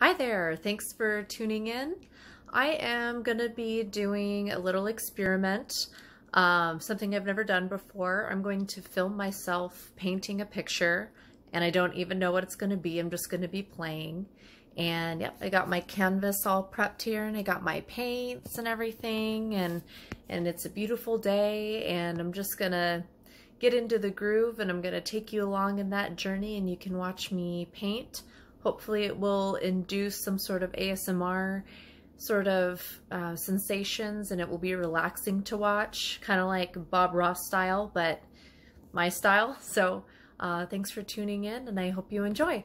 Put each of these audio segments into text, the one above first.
Hi there, thanks for tuning in. I am going to be doing a little experiment, um, something I've never done before. I'm going to film myself painting a picture, and I don't even know what it's going to be. I'm just going to be playing. And yep, I got my canvas all prepped here, and I got my paints and everything, and, and it's a beautiful day, and I'm just going to get into the groove and I'm going to take you along in that journey and you can watch me paint. Hopefully it will induce some sort of ASMR sort of uh, sensations and it will be relaxing to watch, kind of like Bob Ross style, but my style. So uh, thanks for tuning in and I hope you enjoy.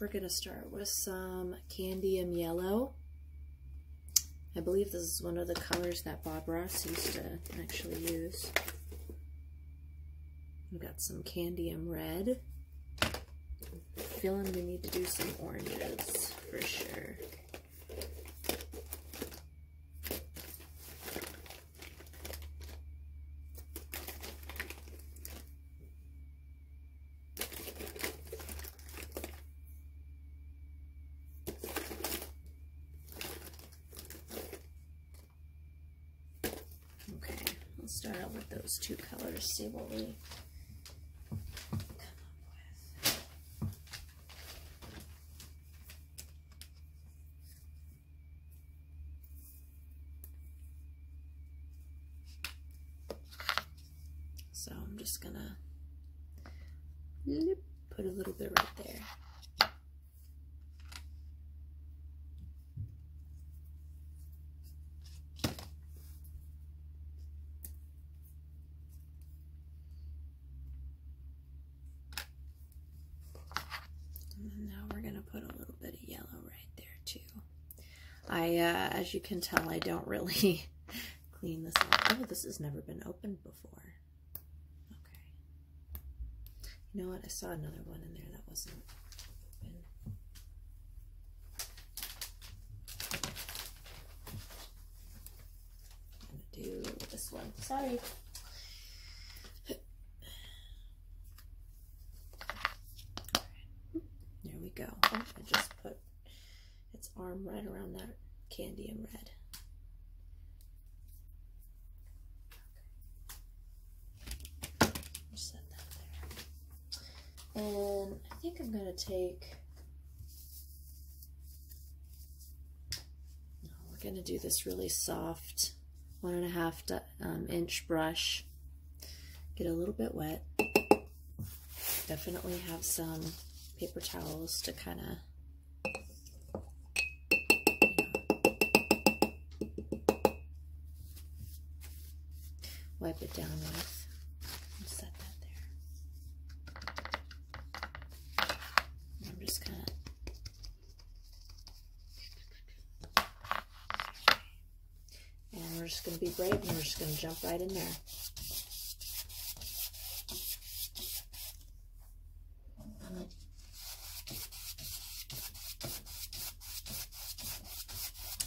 we're going to start with some Candium Yellow. I believe this is one of the colors that Bob Ross used to actually use. We've got some Candium Red. i feeling we need to do some oranges for sure. Okay, let's start out with those two colors, see what we so I'm just gonna put a little bit right there now we're going to put a little bit of yellow right there too. I, uh, as you can tell, I don't really clean this up. Oh, this has never been opened before. Okay. You know what? I saw another one in there that wasn't open. I'm gonna do this one. Sorry. There we go. I just put its arm right around that candy in red. set that there. And I think I'm going to take we're going to do this really soft one and a half um, inch brush. Get a little bit wet. Definitely have some paper towels to kind of wipe it down with. Set that there. I'm just gonna and we're just gonna be brave and we're just gonna jump right in there.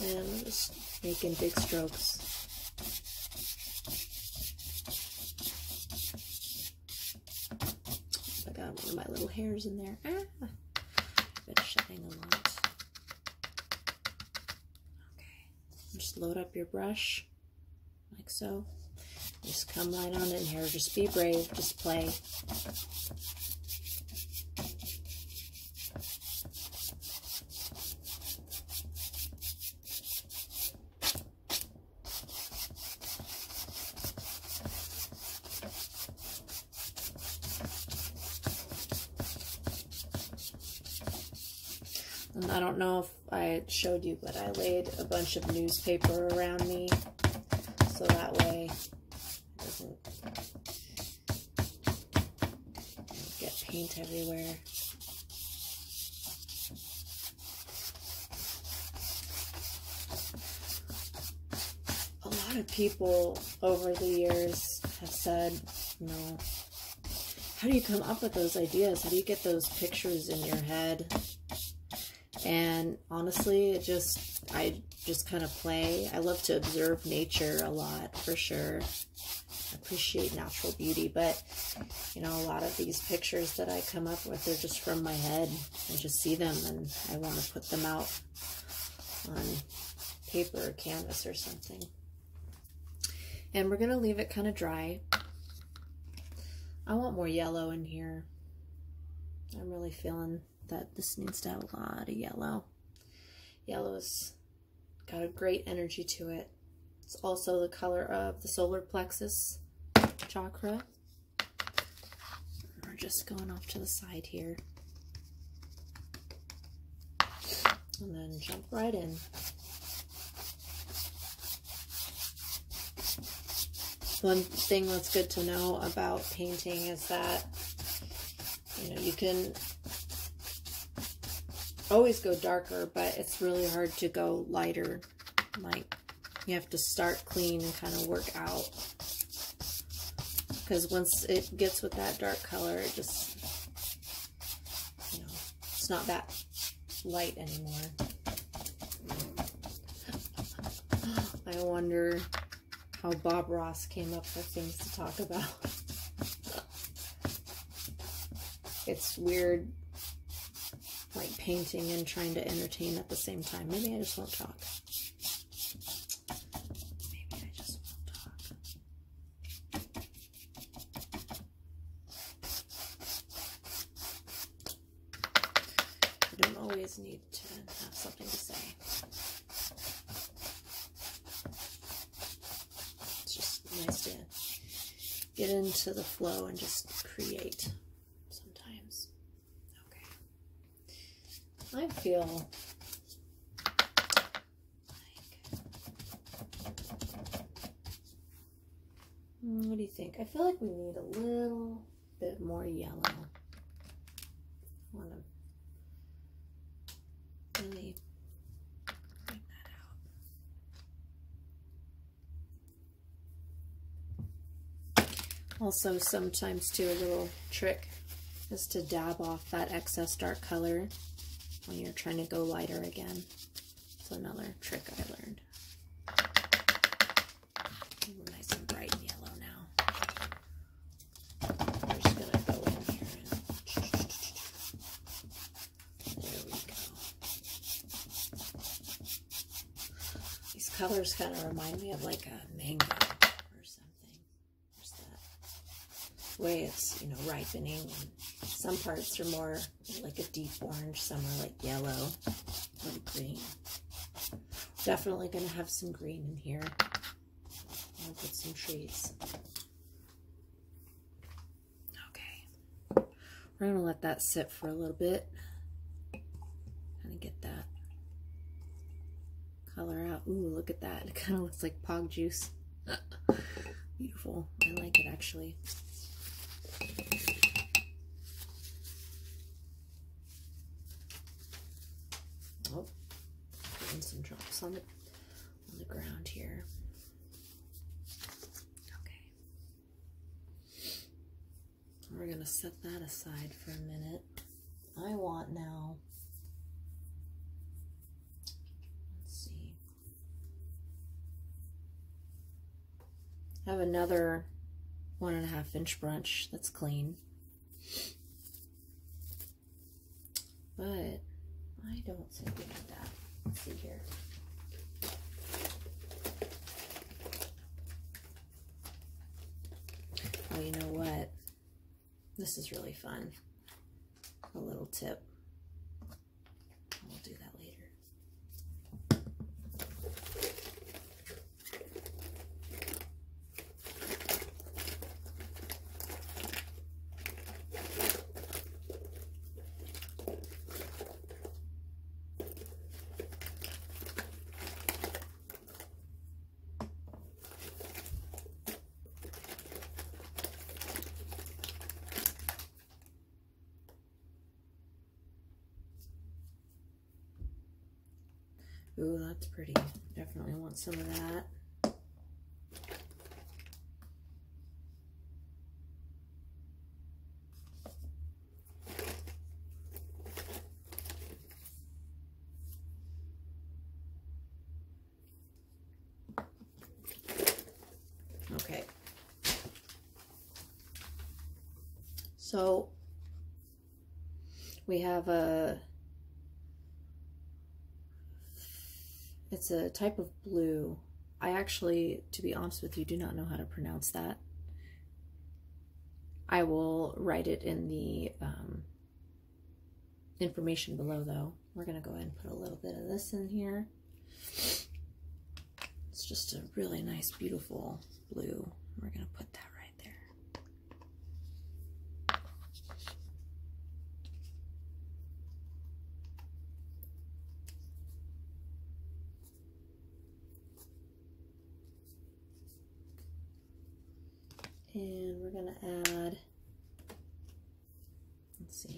And I'm just making big strokes. I got one of my little hairs in there. Ah, been shedding a lot. Okay, just load up your brush like so. Just come right on in here. Just be brave. Just play. I don't know if I showed you, but I laid a bunch of newspaper around me so that way it doesn't get paint everywhere. A lot of people over the years have said, no. How do you come up with those ideas? How do you get those pictures in your head? And honestly, it just, I just kind of play. I love to observe nature a lot, for sure appreciate natural beauty. But, you know, a lot of these pictures that I come up with, they're just from my head. I just see them and I want to put them out on paper or canvas or something. And we're going to leave it kind of dry. I want more yellow in here. I'm really feeling that this needs to have a lot of yellow. Yellow is Got a great energy to it. It's also the color of the solar plexus chakra. We're just going off to the side here. And then jump right in. One thing that's good to know about painting is that, you know, you can always go darker, but it's really hard to go lighter. Like, you have to start clean and kind of work out. Because once it gets with that dark color, it just, you know, it's not that light anymore. I wonder how Bob Ross came up with things to talk about. It's weird, like painting and trying to entertain at the same time. Maybe I just won't talk. Maybe I just won't talk. I don't always need to have something to say. It's just nice to get into the flow and just create sometimes. Okay. I feel What do you think? I feel like we need a little bit more yellow. want to really bring that out. Also sometimes do a little trick is to dab off that excess dark color when you're trying to go lighter again. It's another trick I learned. nice and bright yellow now. just gonna go in here these colors kind of remind me of like a mango or something. There's that way it's, you know, ripening. some parts are more like a deep orange, some are like yellow or green. Definitely going to have some green in here. I'm put some trees. Okay. We're going to let that sit for a little bit. Kind of get that color out. Ooh, look at that. It kind of looks like pog juice. Beautiful. I like it actually. Oh, some drops on the ground here. Okay. We're going to set that aside for a minute. I want now, let's see, I have another one and a half inch branch that's clean. But I don't do like that. Let's see here. Oh, you know what? This is really fun. A little tip. We'll do that later. Ooh, that's pretty. Definitely want some of that. Okay. So we have a, it's a type of blue. I actually, to be honest with you, do not know how to pronounce that. I will write it in the um, information below, though. We're going to go ahead and put a little bit of this in here. It's just a really nice, beautiful blue. We're going to put that right there. And we're going to add, let's see,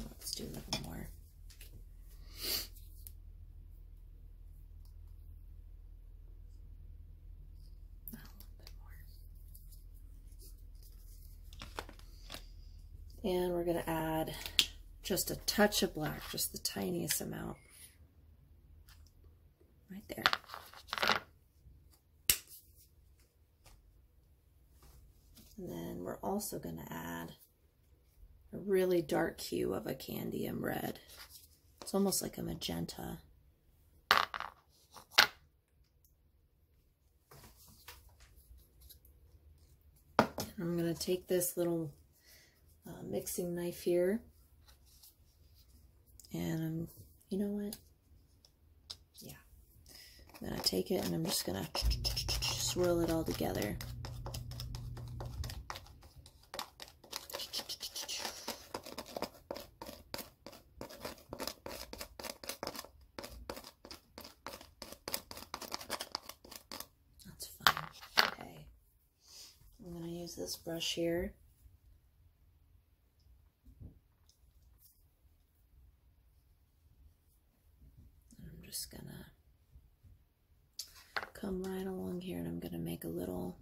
oh, let's do a little more. A little bit more. And we're going to add just a touch of black, just the tiniest amount. Right there. And then we're also going to add a really dark hue of a candium red. It's almost like a magenta. I'm going to take this little uh, mixing knife here and you know what? Yeah. I'm going to take it and I'm just going to swirl it all together. That's fine. Okay. I'm going to use this brush here. I'm just going to come right along here and I'm going to make a little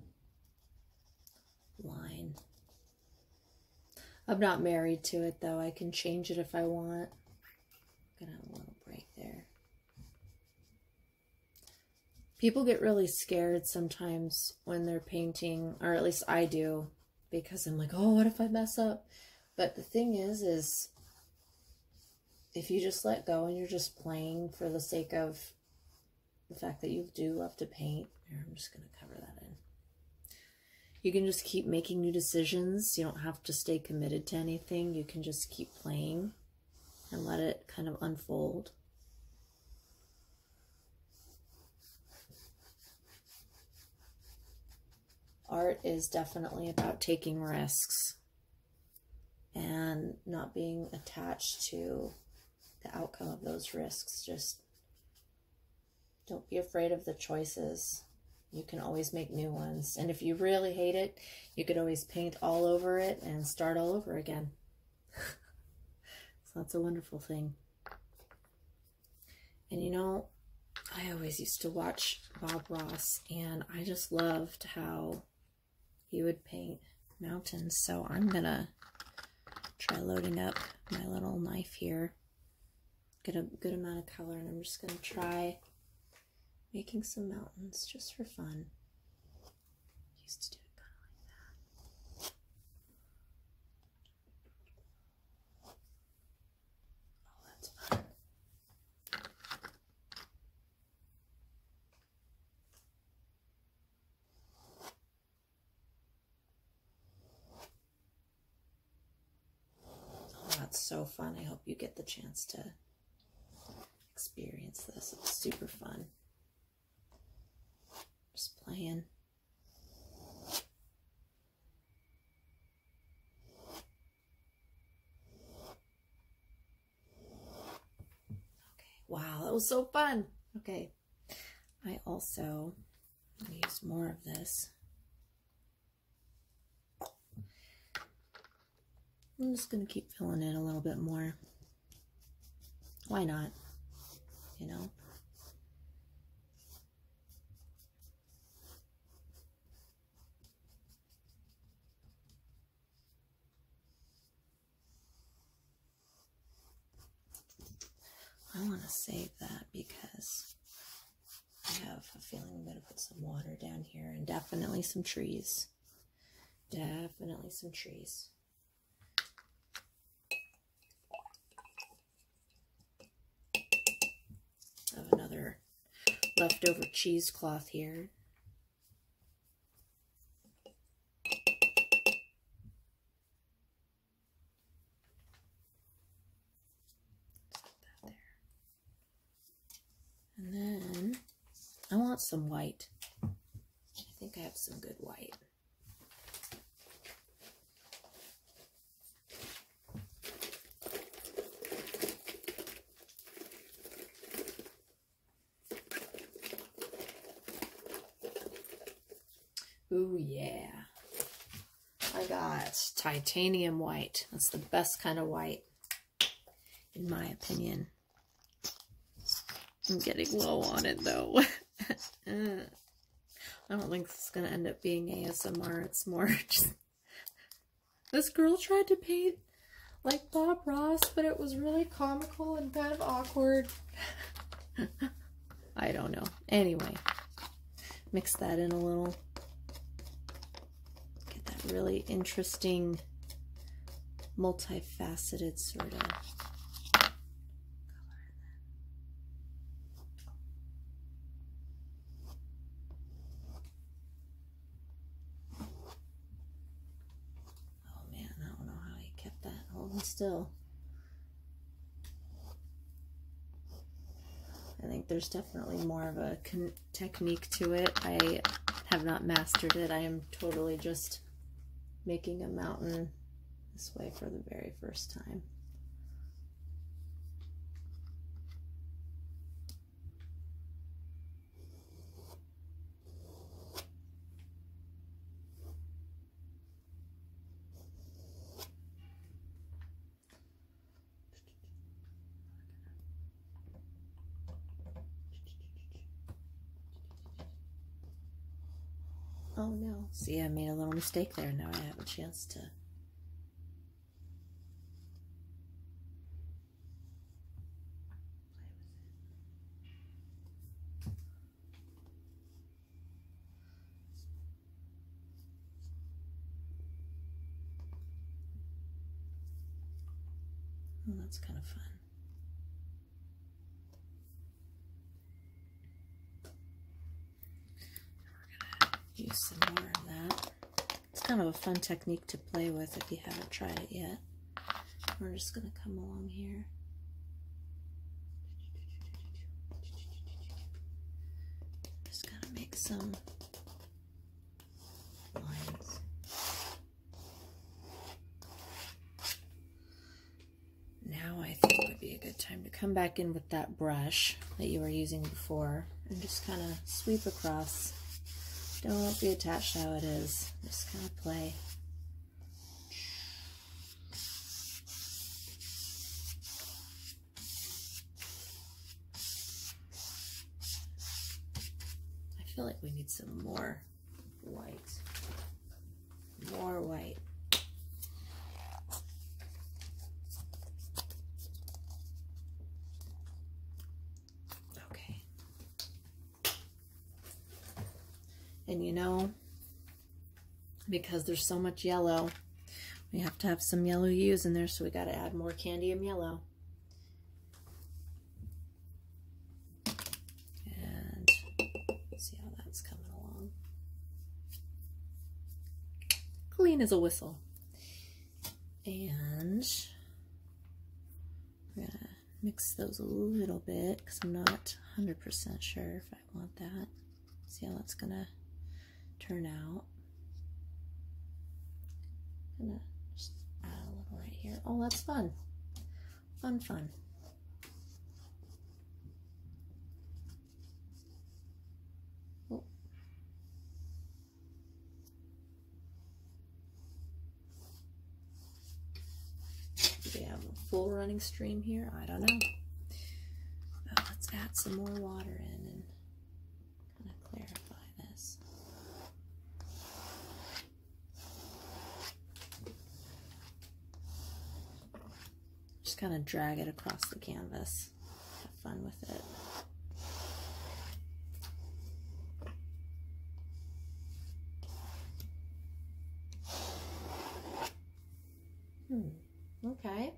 line I'm not married to it though. I can change it if I want. gonna little break there. People get really scared sometimes when they're painting, or at least I do, because I'm like, oh, what if I mess up? But the thing is, is if you just let go and you're just playing for the sake of the fact that you do love to paint, I'm just going to cover that in you can just keep making new decisions. You don't have to stay committed to anything. You can just keep playing and let it kind of unfold. Art is definitely about taking risks and not being attached to the outcome of those risks, just don't be afraid of the choices. You can always make new ones. And if you really hate it, you could always paint all over it and start all over again. that's a wonderful thing. And you know, I always used to watch Bob Ross, and I just loved how he would paint mountains. So I'm going to try loading up my little knife here get a good amount of color and I'm just going to try making some mountains just for fun. used to do it kind of like that. Oh, that's fun. Oh, that's so fun. I hope you get the chance to experience this. It's super fun. Just playing. Okay. Wow, that was so fun. Okay. I also use more of this I'm just going to keep filling in a little bit more. Why not? You know? I want to save that because I have a feeling I'm going to put some water down here and definitely some trees. Definitely some trees. have another leftover cheesecloth here. And then I want some white. I think I have some good white. Oh yeah. I got titanium white. That's the best kind of white, in my opinion. I'm getting low on it, though. I don't think this is going to end up being ASMR. It's more just... This girl tried to paint like Bob Ross, but it was really comical and kind of awkward. I don't know. Anyway, Mix that in a little. Get that really interesting, multifaceted sort of Oh man, I don't know how he kept that holding still. I think there's definitely more of a technique to it. I have not mastered it. I am totally just making a mountain this way for the very first time. Oh no, see I made a little mistake there. Now I have a chance to well, oh, that's kind of fun. We're going to use some more of that. It's kind of a fun technique to play with if you haven't tried it yet. We're just going to come along here. Just got to make some now I think would be a good time to come back in with that brush that you were using before and just kind of sweep across. Don't be attached how it is. Just kind of play. I feel like we need some more white. More white. Okay. And you know, because there's so much yellow, we have to have some yellow hues in there, so we got to add more candy and yellow. And see how that's coming along. Clean as a whistle. And we're going to mix those a little bit because I'm not 100% sure if I want that. See how that's going to turn out. Gonna just add a little right here. Oh, that's fun. Fun, fun. Oh. Do we have a full running stream here? I don't know. Uh, let's add some more water in kind of clarify this. Just kind of drag it across the canvas. Have fun with it. Hmm, okay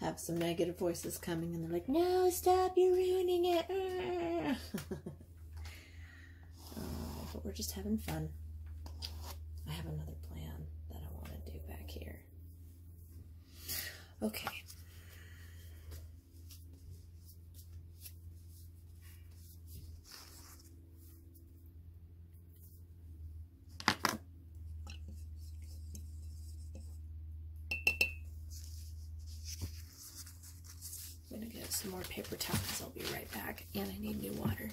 have some negative voices coming and they're like, no, stop, you're ruining it. Uh, but we're just having fun. I have another plan that I want to do back here. Okay. I'm going to get some more paper towels. I'll be right back. And I need new water.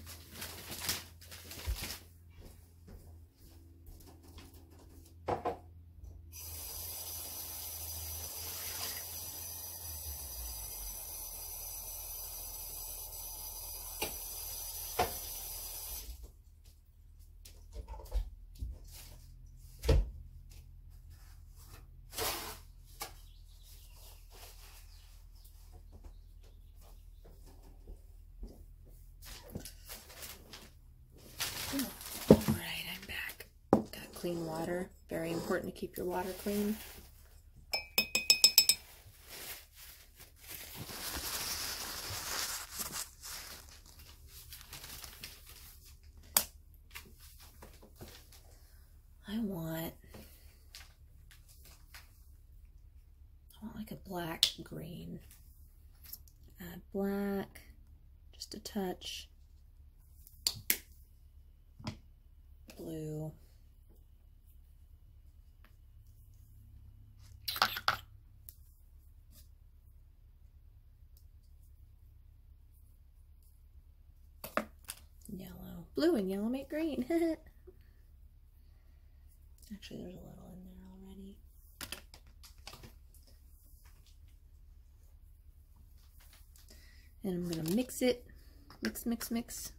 All right, I'm back. Got clean water. Very important to keep your water clean. I want, I want like a black green. Add black, just a touch. Blue. Yellow. Blue and yellow make green. Actually, there's a little in there already. And I'm going to mix it. Mix, mix, mix.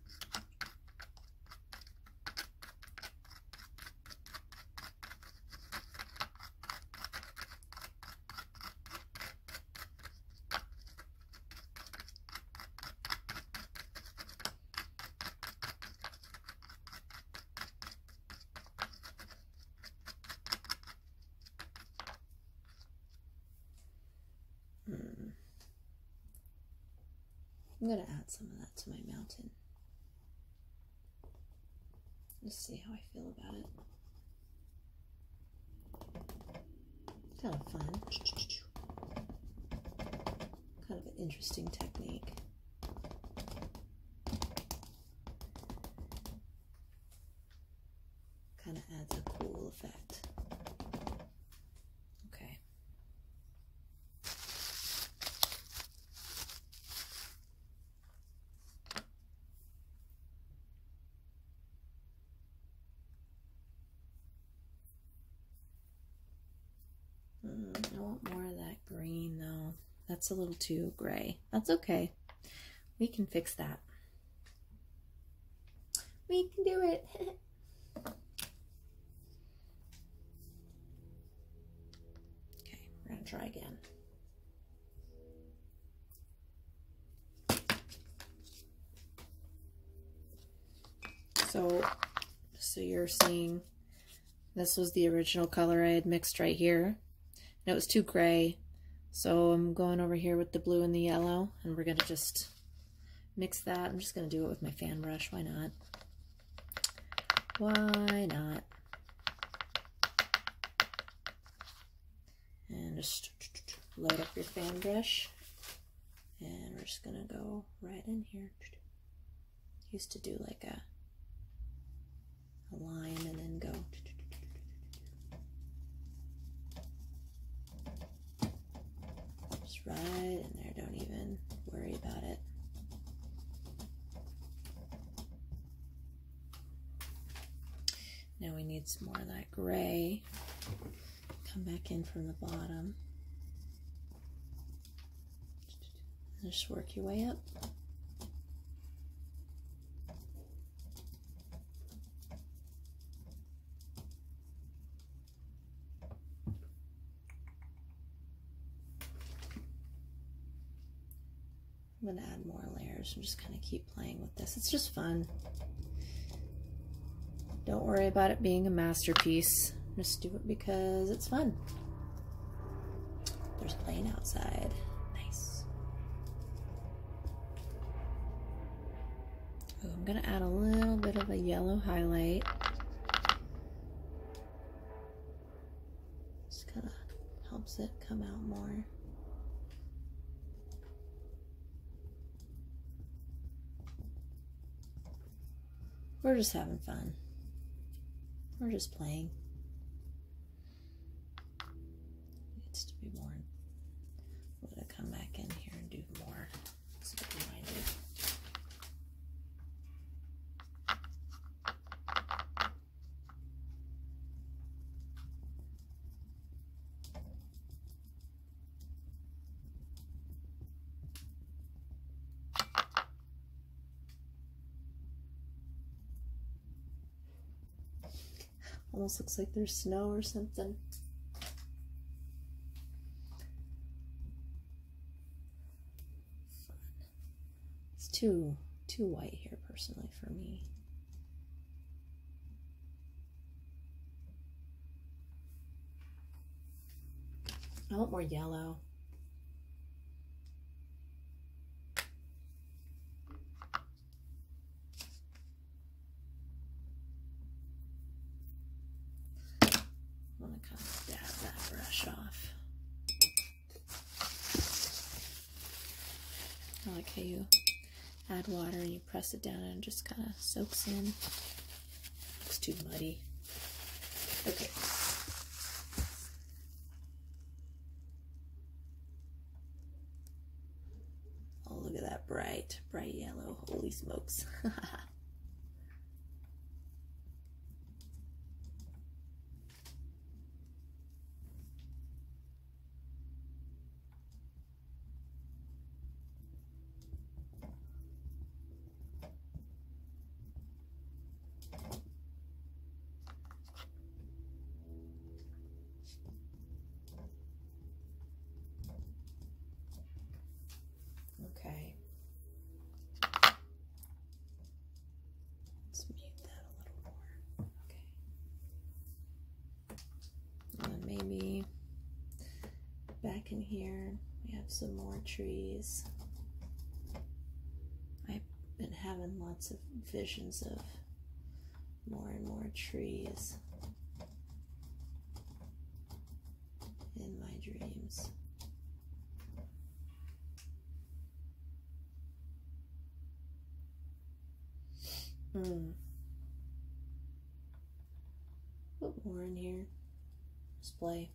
Mm. I'm going to add some of that to my mountain. Just see how I feel about it. Kind of fun. Kind of an interesting technique. Kind of adds a cool effect. Okay. Mm, I want more of that green though. That's a little too gray. That's okay. We can fix that. We can do it. okay, we're gonna try again. So, so you're seeing this was the original color I had mixed right here. it was too gray. So I'm going over here with the blue and the yellow and we're going to just mix that. I'm just going to do it with my fan brush. Why not? Why not? And just light up your fan brush. And we're just going to go right in here. Used to do like a, a line and then go. Just right in there. Don't even worry about it. Now we need some more of that gray come back in from the bottom. Just work your way up. I'm going to add more layers and just kind of keep playing with this. It's just fun. Don't worry about it being a masterpiece. Just do it because it's fun. There's plane outside. Nice. I'm going to add a little bit of a yellow highlight. Just kind of helps it come out more. We're just having fun. We're just playing. Needs to be more. I'm gonna come back in here and do more. Almost looks like there's snow or something. It's too, too white here personally for me. I want more yellow. I'm gonna kind of dab that brush off. I like how you add water and you press it down and just kind of soaks in. Looks too muddy. Okay. Oh, look at that bright, bright yellow. Holy smokes. Okay. Let's mute that a little more. Okay. Uh, maybe back in here, we have some more trees. I've been having lots of visions of more and more trees in my dreams. Mm. Put more in here. Display.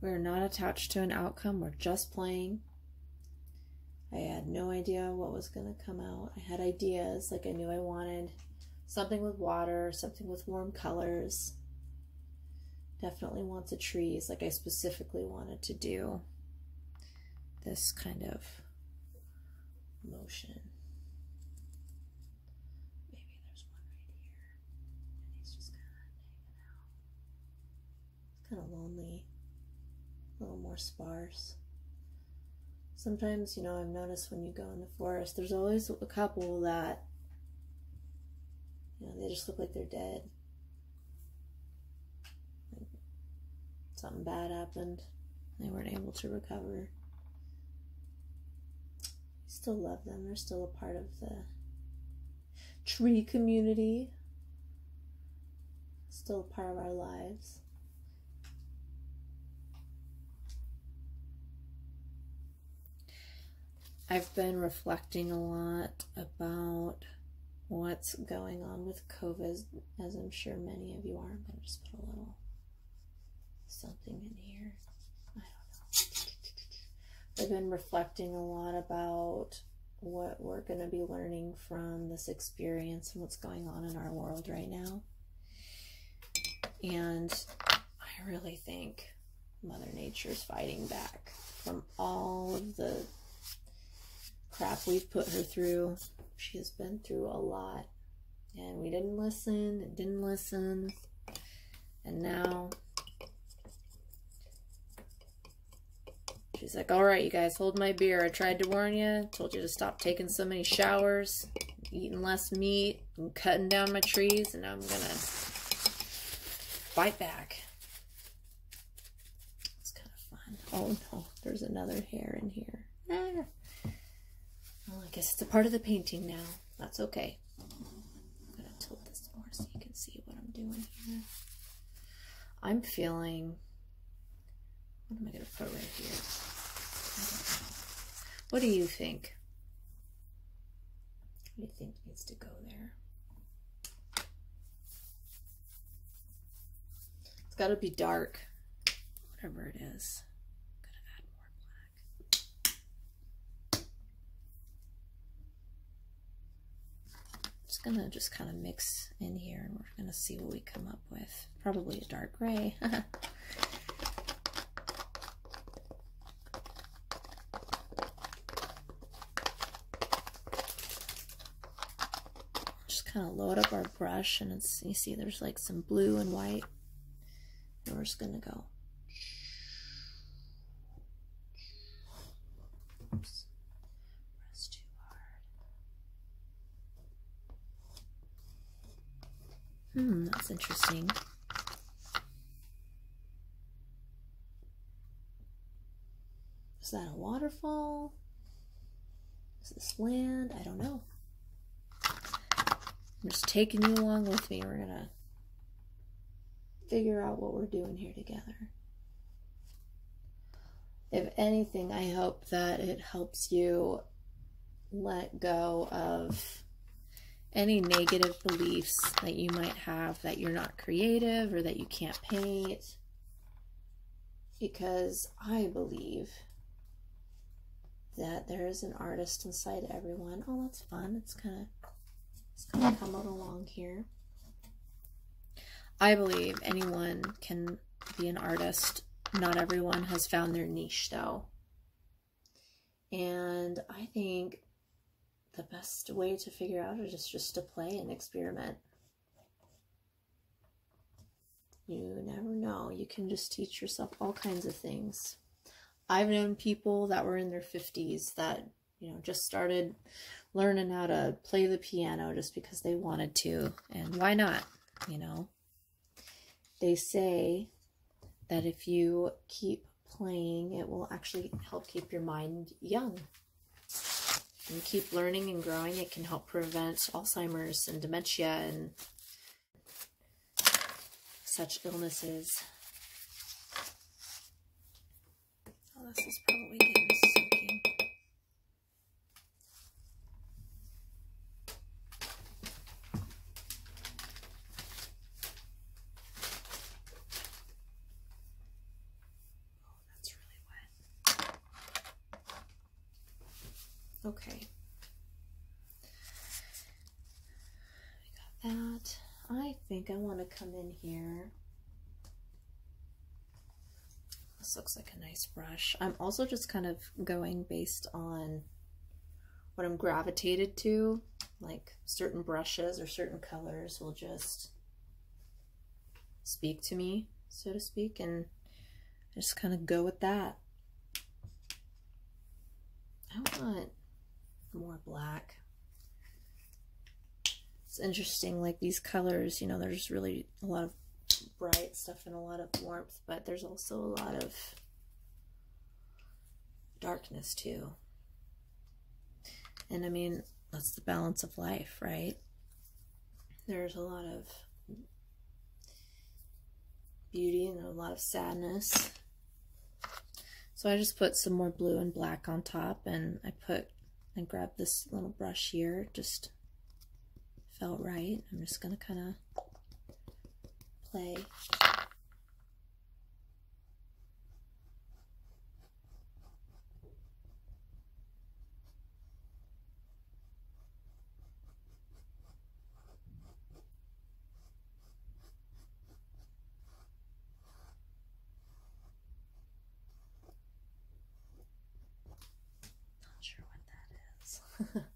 We're not attached to an outcome, we're just playing. I had no idea what was going to come out. I had ideas, like I knew I wanted something with water, something with warm colors. Definitely wants the trees, like I specifically wanted to do this kind of motion. Maybe there's one right here, he's just kind of hanging out. It's kind of lonely, a little more sparse sometimes, you know, I've noticed when you go in the forest, there's always a couple that, you know, they just look like they're dead. something bad happened. They weren't able to recover. I still love them. They're still a part of the tree community. Still a part of our lives. I've been reflecting a lot about what's going on with COVID, as I'm sure many of you are. I'm going to just put a little something in here. I have been reflecting a lot about what we're going to be learning from this experience and what's going on in our world right now. And I really think Mother Nature's fighting back from all of the crap we've put her through. She has been through a lot. And we didn't listen didn't listen. And now she's like, all right, you guys, hold my beer. I tried to warn you. Told you to stop taking so many showers eating less meat and cutting down my trees, and I'm going to fight back. It's kind of fun. Oh no, there's another hair in here. Ah. Well, I guess it's a part of the painting now. That's okay. I'm going to tilt this more so you can see what I'm doing here. I'm feeling what am I going to put right here? What do you think? What do you think needs to go there? It's got to be dark, whatever it going to add more black. just going to just kind of mix in here and we're going to see what we come up with probably a dark gray. Just kind of load up our brush and it's, you see there's like some blue and white. And we're just gonna go. Hmm, that's interesting. Is that a waterfall? Is this land? I don't know. I'm just taking you along with me. We're gonna figure out what we're doing here together. If anything, I hope that it helps you let go of any negative beliefs that you might have that you're not creative or that you can't paint. Because I believe that there is an artist inside everyone. Oh, that's fun. It's kind of it's kind of coming along here. I believe anyone can be an artist. Not everyone has found their niche, though. And I think the best way to figure out it is just to play and experiment. You never know. You can just teach yourself all kinds of things. I've known people that were in their 50s that, you know, just started learning how to play the piano just because they wanted to. And why not? You know, they say that if you keep playing, it will actually help keep your mind young. And keep learning and growing, it can help prevent Alzheimer's and dementia and such illnesses. Oh, this is probably getting soaking. Oh, that's really wet. Okay. I got that. I think I want to come in here. This looks like a nice brush. I'm also just kind of going based on what I'm gravitated to, like certain brushes or certain colors will just speak to me, so to speak, and just kind of go with that. I want more black. It's interesting, like these colors, you know, there's really a lot of bright stuff and a lot of warmth but there's also a lot of darkness too. And I mean, that's the balance of life, right? There's a lot of beauty and a lot of sadness. So I just put some more blue and black on top and I put and grabbed this little brush here, just felt right. I'm just going to kind of play. Not sure what that is.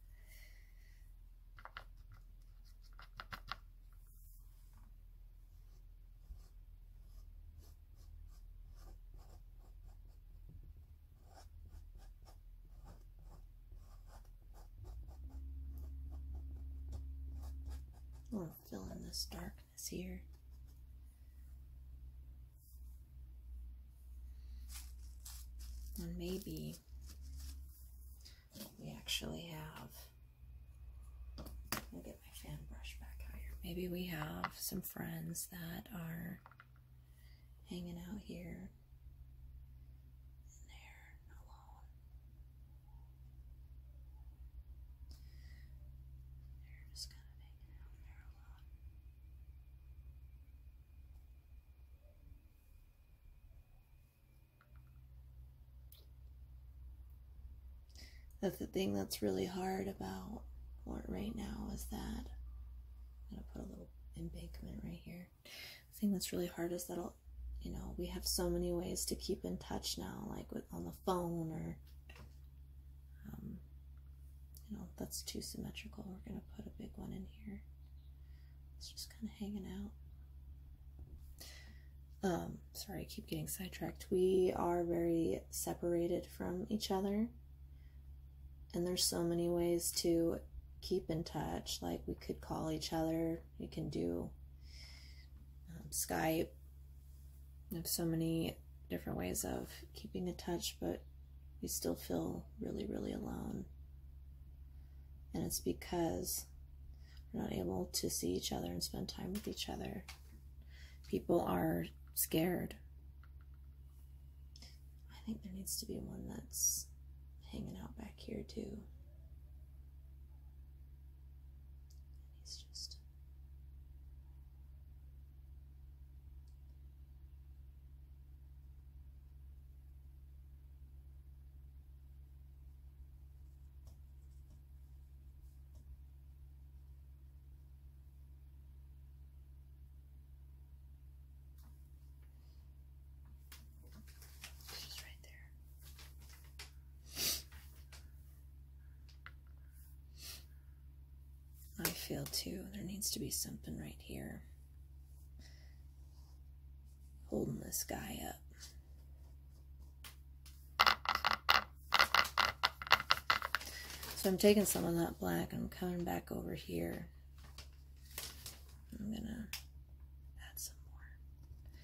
i we fill in this darkness here. And maybe we actually have, let me get my fan brush back higher. Maybe we have some friends that are hanging out here and alone. They're just kind of hanging out there alone. That's the thing that's really hard about what right now is that I'm gonna put a little embankment right here. The thing that's really hard is that'll you know, we have so many ways to keep in touch now, like on the phone or um, you know, that's too symmetrical. We're gonna put a big one in here. It's just kind of hanging out. Um, sorry, I keep getting sidetracked. We are very separated from each other. And there's so many ways to keep in touch. Like we could call each other, You can do um, Skype. Have so many different ways of keeping in touch, but you still feel really, really alone. And it's because we're not able to see each other and spend time with each other. People are scared. I think there needs to be one that's hanging out back here too. He's just She's right there. I feel too. There needs to be something right here holding this guy up. So I'm taking some of that black I'm coming back over here. I'm going to add some more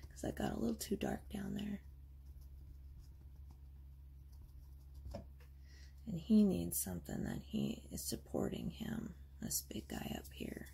because I got a little too dark down there. And he needs something that he is supporting him this big guy up here.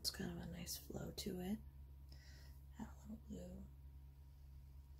It's kind of a nice flow to it. Add a little blue.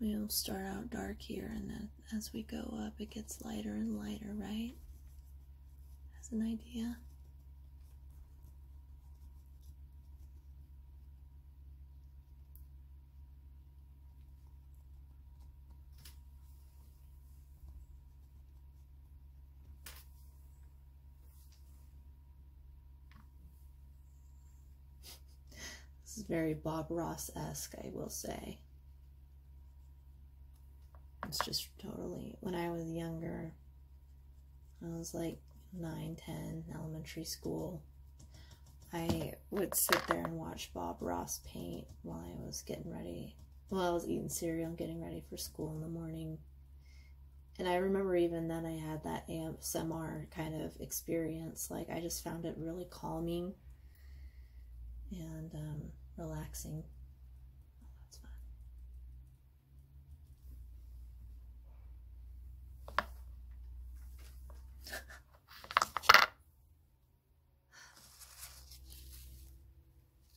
We'll start out dark here, and then as we go up, it gets lighter and lighter, right? As an idea this is very Bob Ross-esque, I will say. It's just totally, when I was younger, I was like 9, 10, elementary school. I would sit there and watch Bob Ross paint while I was getting ready. while I was eating cereal and getting ready for school in the morning. And I remember even then I had that smr kind of experience. Like I just found it really calming and um, relaxing.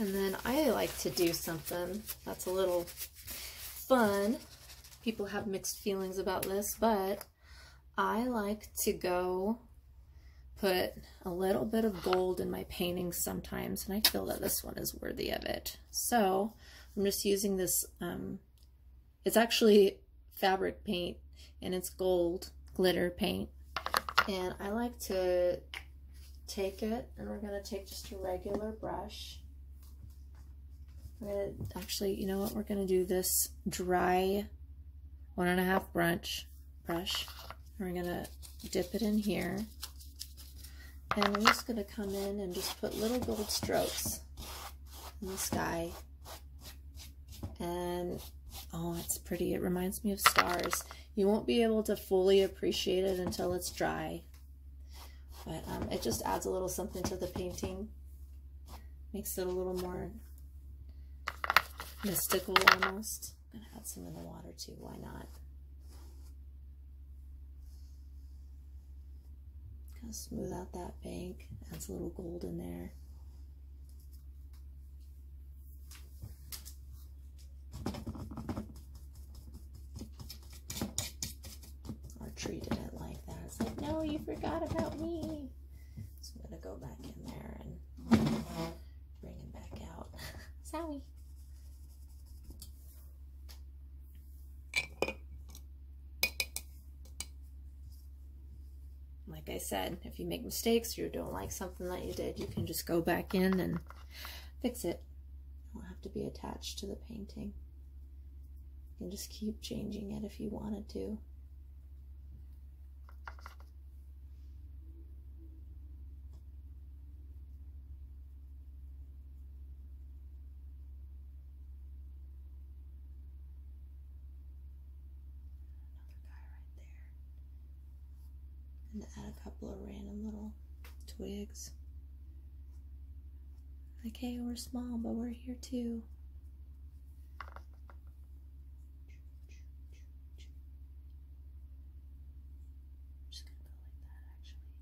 And then I like to do something that's a little fun. People have mixed feelings about this, but I like to go put a little bit of gold in my paintings sometimes, and I feel that this one is worthy of it. So I'm just using this, um, it's actually fabric paint, and it's gold glitter paint. And I like to take it, and we're going to take just a regular brush. We're going to, actually, you know what, we're going to do this dry one and a half brush brush. We're going to dip it in here. And I'm just going to come in and just put little gold strokes in the sky. And, oh, it's pretty. It reminds me of stars. You won't be able to fully appreciate it until it's dry. But um, it just adds a little something to the painting. Makes it a little more mystical almost. I'm gonna add some in the water too, why not? Kind of smooth out that bank, adds a little gold in there. Our tree did like that. It's like, no, you forgot about me. So I'm gonna go back in there and bring him back out. Zowie. Like I said, if you make mistakes or you don't like something that you did, you can just go back in and fix it. You don't have to be attached to the painting. You can just keep changing it if you wanted to. Another guy right there. And add a couple of random little twigs. Like, we're small, but we're here too. I'm just going to go like that actually. Yeah.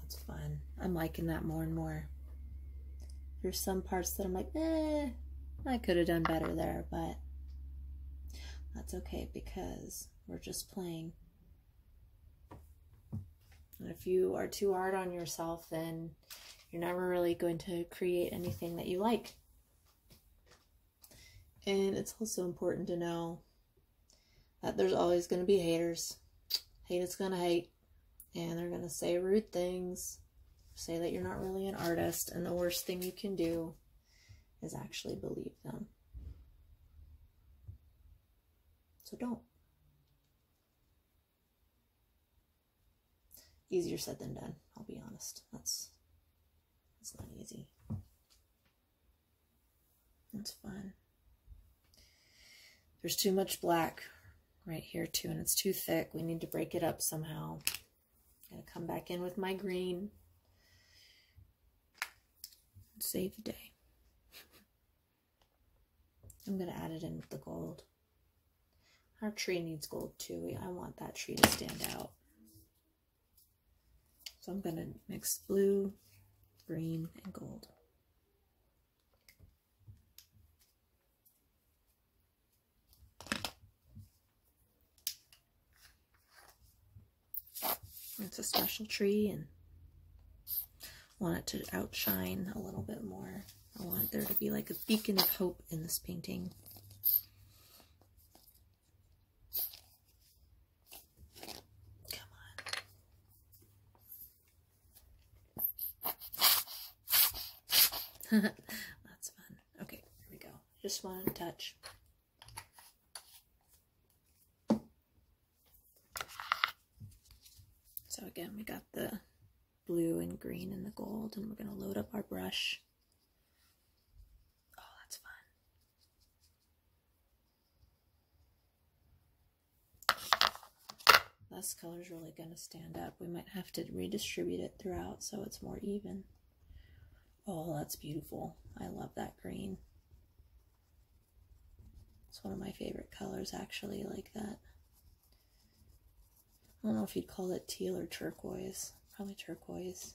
That's fun. I'm liking that more and more. There's some parts that I'm like, eh, I could have done better there, but that's okay because we're just playing. And if you are too hard on yourself, then you're never really going to create anything that you like. And it's also important to know that there's always going to be haters. Haters is going to hate and they're going to say rude things, say that you're not really an artist, and the worst thing you can do is actually believe them. So don't. Easier said than done, I'll be honest. That's that's not easy. That's fun. There's too much black right here too, and it's too thick. We need to break it up somehow. I'm gonna come back in with my green save the day. I'm gonna add it in with the gold. Our tree needs gold too. I want that tree to stand out. So I'm gonna mix blue, green, and gold. It's a special tree and want it to outshine a little bit more. I want there to be like a beacon of hope in this painting. Come on. That's fun. Okay, here we go. Just one touch. So again, we got the blue and green and the gold, and we're going to load up our brush. Oh, that's fun. This color is really going to stand up. We might have to redistribute it throughout so it's more even. Oh, that's beautiful. I love that green. It's one of my favorite colors, actually, like that. I don't know if you'd call it teal or turquoise. Probably turquoise.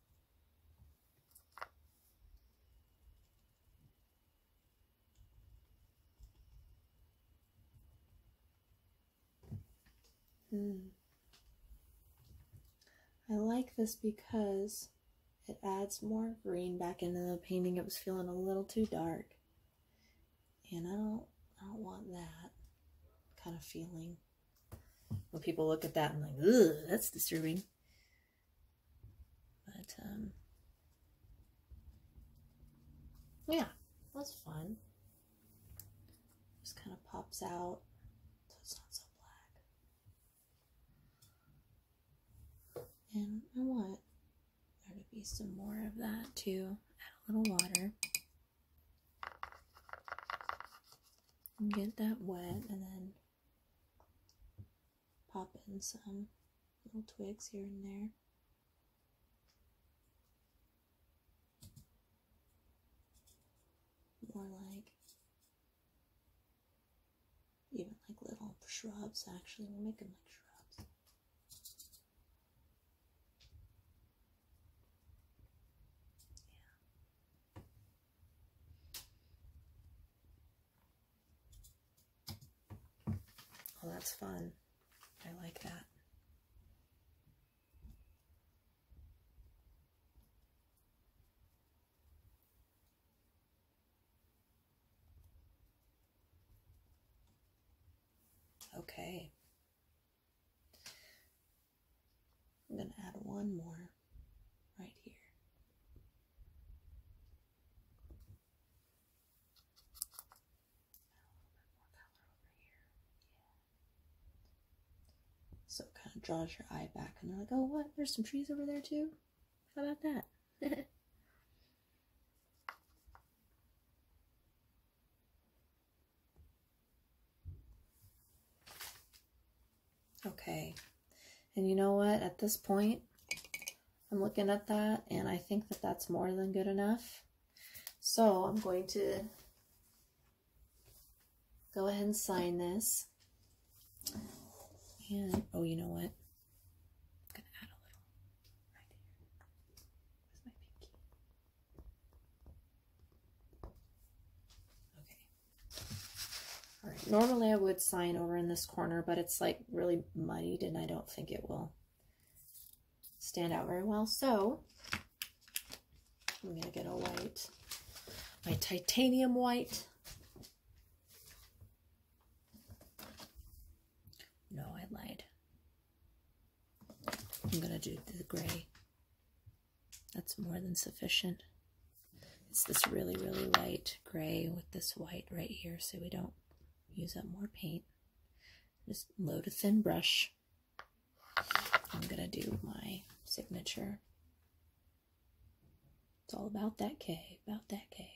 Mm. I like this because it adds more green back into the painting. It was feeling a little too dark. And I don't I don't want that kind of feeling. When people look at that and like, ugh, that's disturbing. But um, yeah, that's fun. Just kind of pops out, so it's not so black. And I want there to be some more of that too. Add a little water. Get that wet and then pop in some little twigs here and there. More like even like little shrubs actually we'll make them like shrubs yeah Oh, that's fun. I like that. Okay. I'm going to add one more right here. So it kind of draws your eye back, and they're like, oh, what? There's some trees over there, too? How about that? Okay. And you know what? At this point, I'm looking at that and I think that that's more than good enough. So I'm going to go ahead and sign this. And, oh, you know what? normally I would sign over in this corner, but it's like really muddied and I don't think it will stand out very well. So I'm going to get a white, my titanium white. No, I lied. I'm going to do the gray. That's more than sufficient. It's this really, really light gray with this white right here so we don't use up more paint. Just load a thin brush. I'm going to do my signature. It's all about that K, about that K.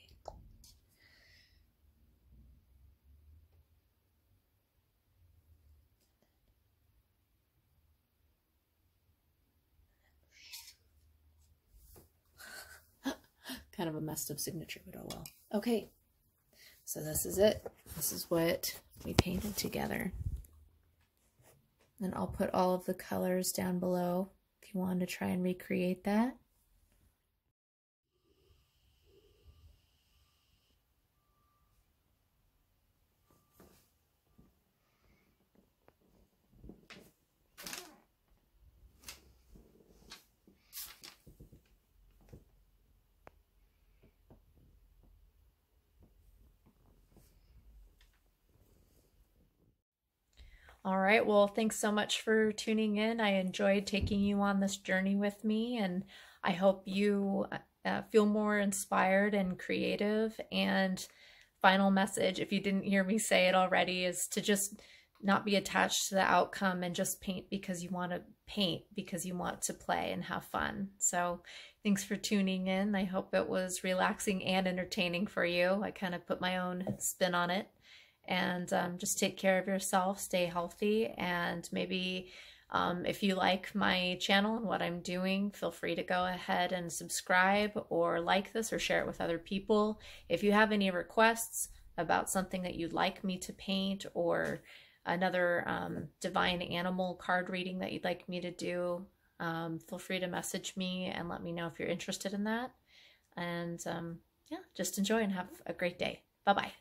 kind of a messed up signature, but oh well. Okay, so this is it. This is what we painted together. And I'll put all of the colors down below if you want to try and recreate that. All right. Well, thanks so much for tuning in. I enjoyed taking you on this journey with me, and I hope you uh, feel more inspired and creative. And final message, if you didn't hear me say it already, is to just not be attached to the outcome and just paint because you want to paint because you want to play and have fun. So thanks for tuning in. I hope it was relaxing and entertaining for you. I kind of put my own spin on it. And um, just take care of yourself, stay healthy, and maybe um, if you like my channel and what I'm doing, Feel free to go ahead and subscribe or like this or share it with other people. If you have any requests about something that you'd like me to paint or another um, divine animal card reading that you'd like me to do, um, feel free to message me and let me know if you're interested in that. And um, yeah, just enjoy and have a great day. Bye bye.